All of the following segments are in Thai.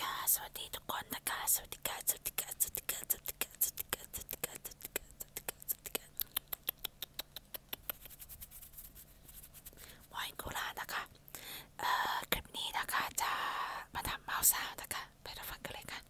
ค่ะสวัสดีทุกคนนะคะ สวัสดีค่ะสวัสดีค่ะสวัสดีค่ะสวัสดีค่ะสวัสดีค่ะสวัสดีค่ะสวัสดีค่ะสวัสดีค่ะสวัสดีค่ะมอยกุลานะคะเอ่อคลิปนี้นะคะจะมาทำเมาส์ซาวนะคะไปรับฟังกันเลยค่ะ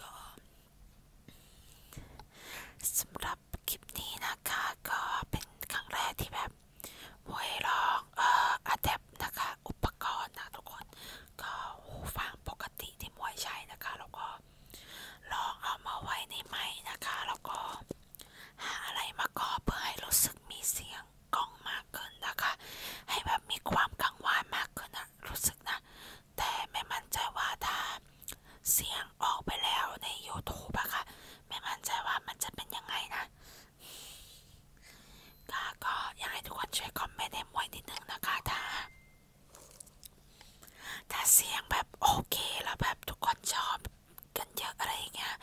ก็สำหรับคลิปนี้นะคะ ก็เป็นครั้งแรกที่แบบไว้ลองเอ่ออะแดปนะคะ อุปกรณ์นะทุกคนก็หูฟังปกติที่มวยใช้นะคะแล้วก็ลองเอามาไว้ในไม้นะคะแล้วก็หาอะไรมาก่อเพื่อให้รู้สึกมีเสียงองกล้องมากขึ้นนะคะให้แบบมีความกังวานมากขึ้นนะรู้สึกนะ แต่ไม่มั่นใจว่าถ้าเสียงออกไปแล้วใน YouTube อะค่ะไม่มั่นใจว่ามันจะเป็นยังไงนะ ก็อยากให้ทุกคนช่วยคอมเมนต์ให้มวยนิดนึงนะคะถ้าถ้าเสียงแบบโอเคแล้วแบบทุกคนชอบกันเยอะอะไรอย่างเงี้ย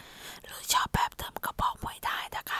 หรือชอบแบบเติมกระบอกมวยได้นะคะ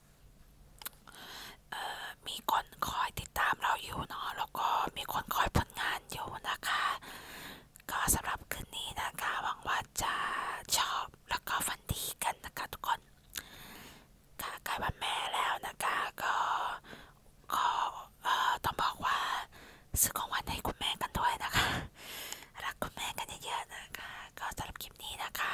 มีคนคอยติดตามเราอยู่เนาะ แล้วก็มีคนคอยผลงานอยู่นะคะ ก็สำหรับคืนนี้นะคะ หวังว่าจะชอบแล้วก็ฝันดีกันนะคะทุกคนค่ะใกล้วันแม่แล้วนะคะ ก็ก็ต้องบอกว่าซื้อของวันให้คุณแม่กันด้วยนะคะ รักคุณแม่กันเยอะๆนะคะ ก็สำหรับคลิปนี้นะคะ